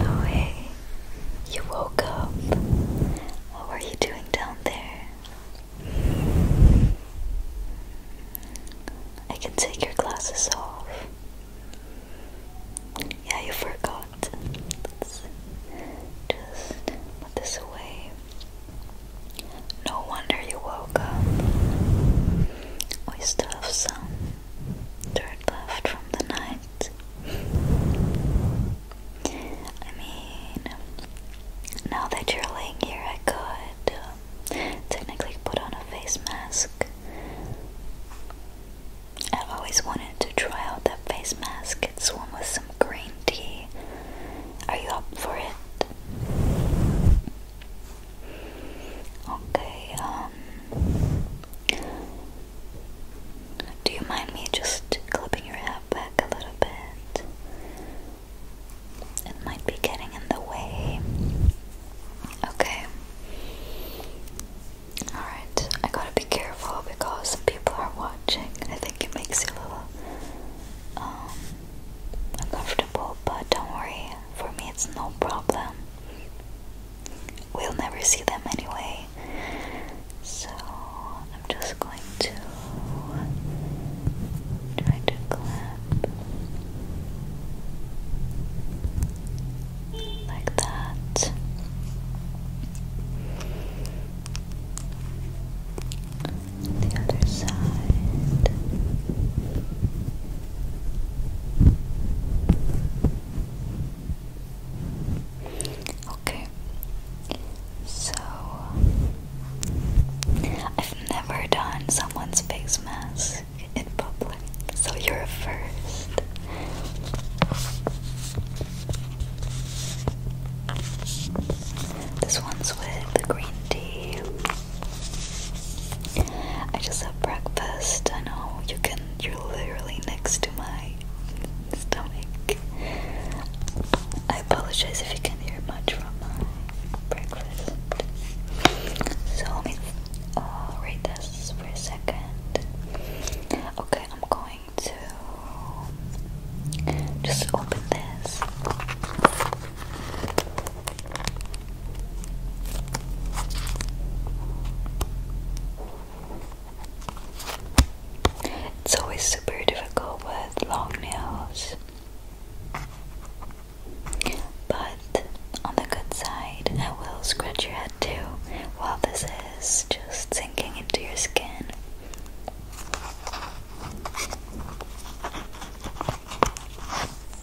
Oh, hey, you woke up. What are you doing down there? I can take your glasses off. Yeah, you forgot. Let's just put this away. No wonder you woke up. We still have some dirt left from the night. I mean, now that you're laying here, I could um, technically put on a face mask. I've always wanted to try out that face mask. It's one with some green tea. Are you up for it? Okay, um do you mind me just clipping your hair back a little bit? It might be getting in the way. Okay. Alright, I gotta be careful because people are watching. I think it makes you a little um, uncomfortable, but don't worry. For me, it's no problem. We'll never see them anyway. So, I'm just going to try to clamp like that. The other side. Okay, so I've never done someone's face mask in public, so you're first. This one's with the green tea. I just had breakfast. I know you can, you're literally next to my stomach. I apologize if you can hear much from my breakfast. So let me read this for a second. Okay, I'm going to just open this. It's always super difficult with long nails, but on the good side, I will scratch your head too while this is just sinking into your skin.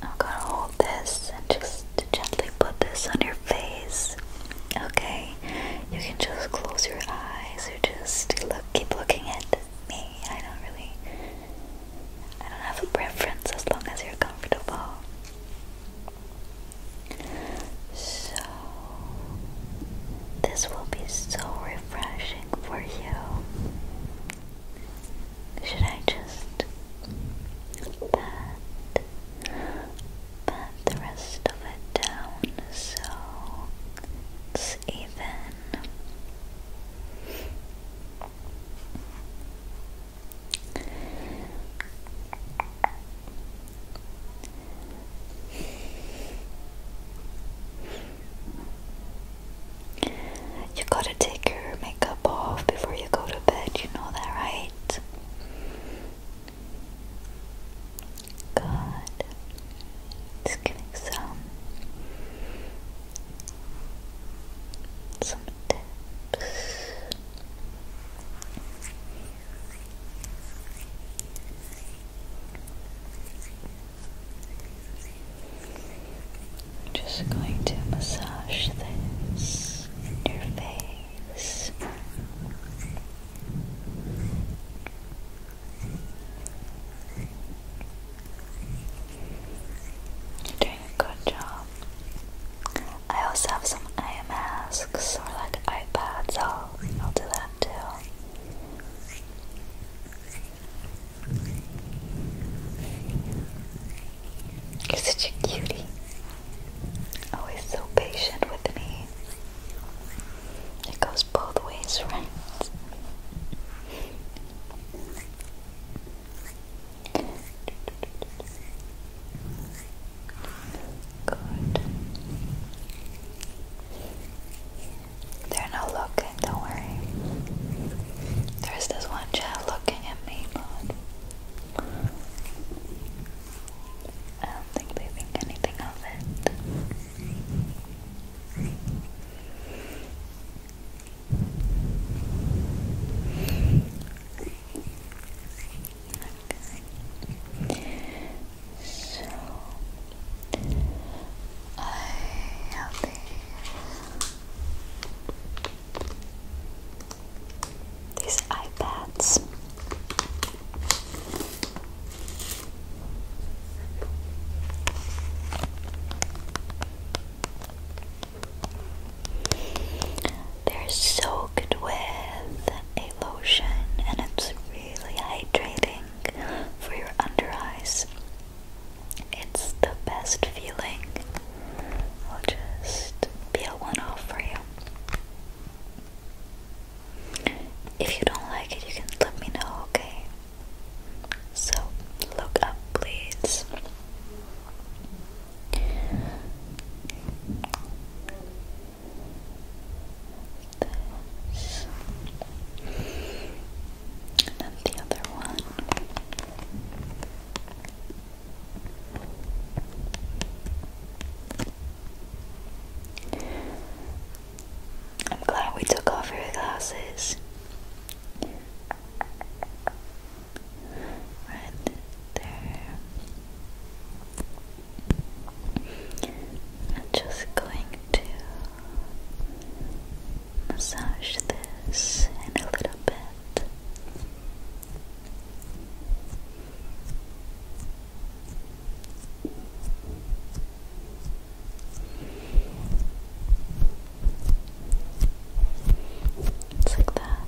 I'm gonna hold this and just gently put this on your face. Okay, you can just close your eyes or just look, keep looking at me. I don't really, I don't have a preference as long as you're comfortable. So, this will be so refreshing for you. Should I just pat, pat the rest of it down so even? You gotta take your makeup off before you go to bed, you know that, right? Good. Just getting some some just going to massage this in your face. You're doing a good job. I also have some eye masks or like iPads. I'll I'll do that too. You're such a cutie. Always so patient with me. It goes both ways, right? Good. They're not looking, don't worry. There's this one child looking at me, but I don't think they think anything of it. So I have these iPads. They're soaked with a lotion and it's really hydrating for your under eyes. It's the best feeling. I'll just peel one off for you. If you don't like it, you can let me know, okay? So, look up, please. And then the other one. I'm glad we took off your glasses right there. I'm just going to massage this in a little bit. It's like that.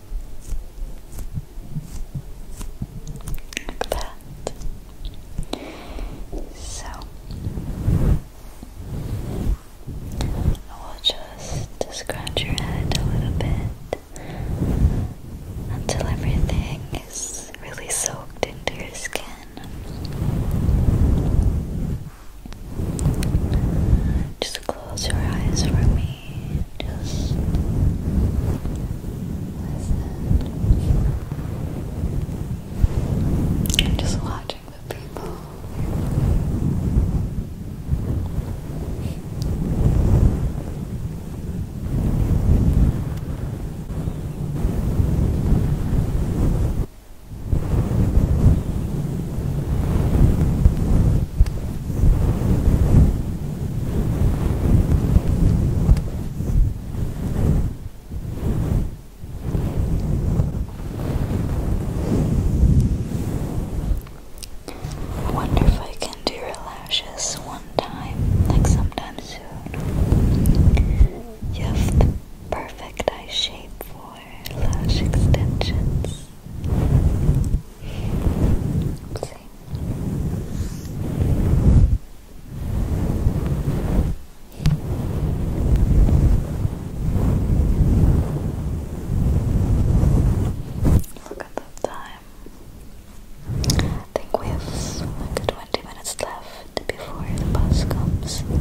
Like that. So I will just scratch your head a little bit until everything is really soaked into your skin. Just close your eyes for me just listen. just watching the people. I wonder if I can do your lashes one time, like sometime soon. You have the perfect eye shape for lash extensions. Look at that time. think we have like 20 minutes left before the bus comes. Okay.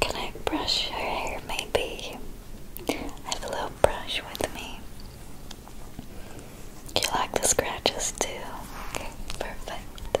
Can I brush your hair maybe? I have a little brush with me. You like the scratches too? Okay, perfect. Perfect.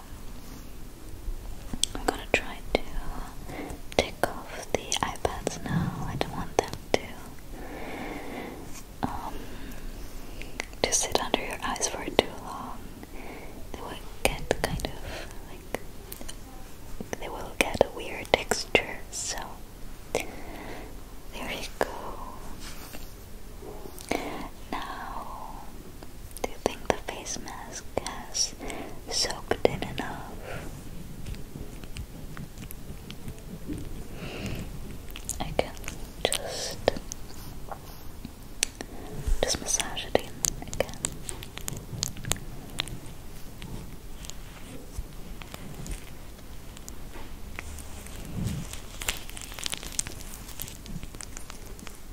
I'm gonna try to take off the iPads now. I don't want them to um, to sit under your eyes for too long. They will get kind of like they will get a weird texture. So there you go. Now, do you think the face mask has soaked in enough? I can just just massage it in again just make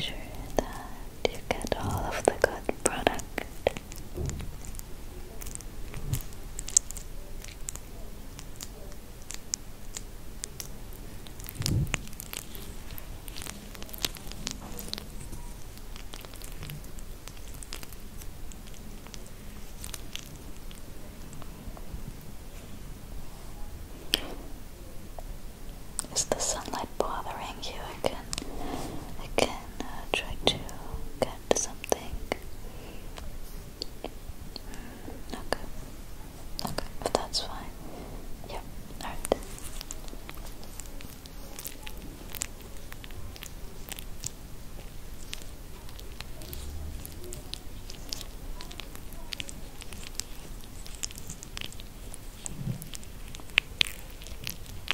sure that you get all of the good product. Is the sunlight bothering you? again? can can uh, try to get something. Mm, okay. Okay, but that's fine. Yeah, alright.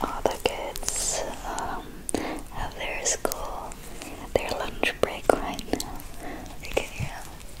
All the kids um, have their school, their lunch break right now. You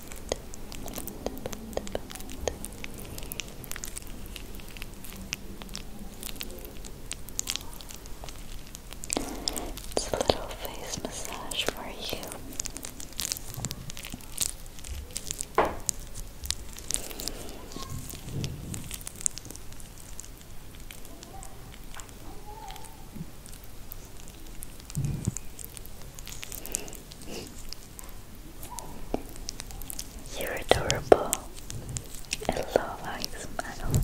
It's a little face massage for you. You're adorable. I love smile.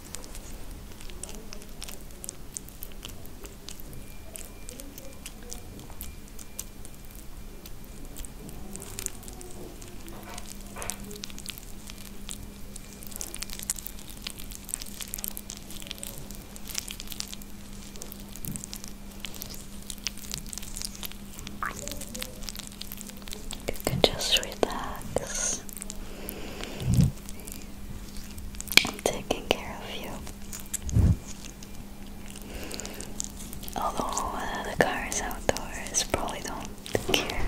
You can just relax I'm taking care of you. Although uh, the car outdoors, probably don't care.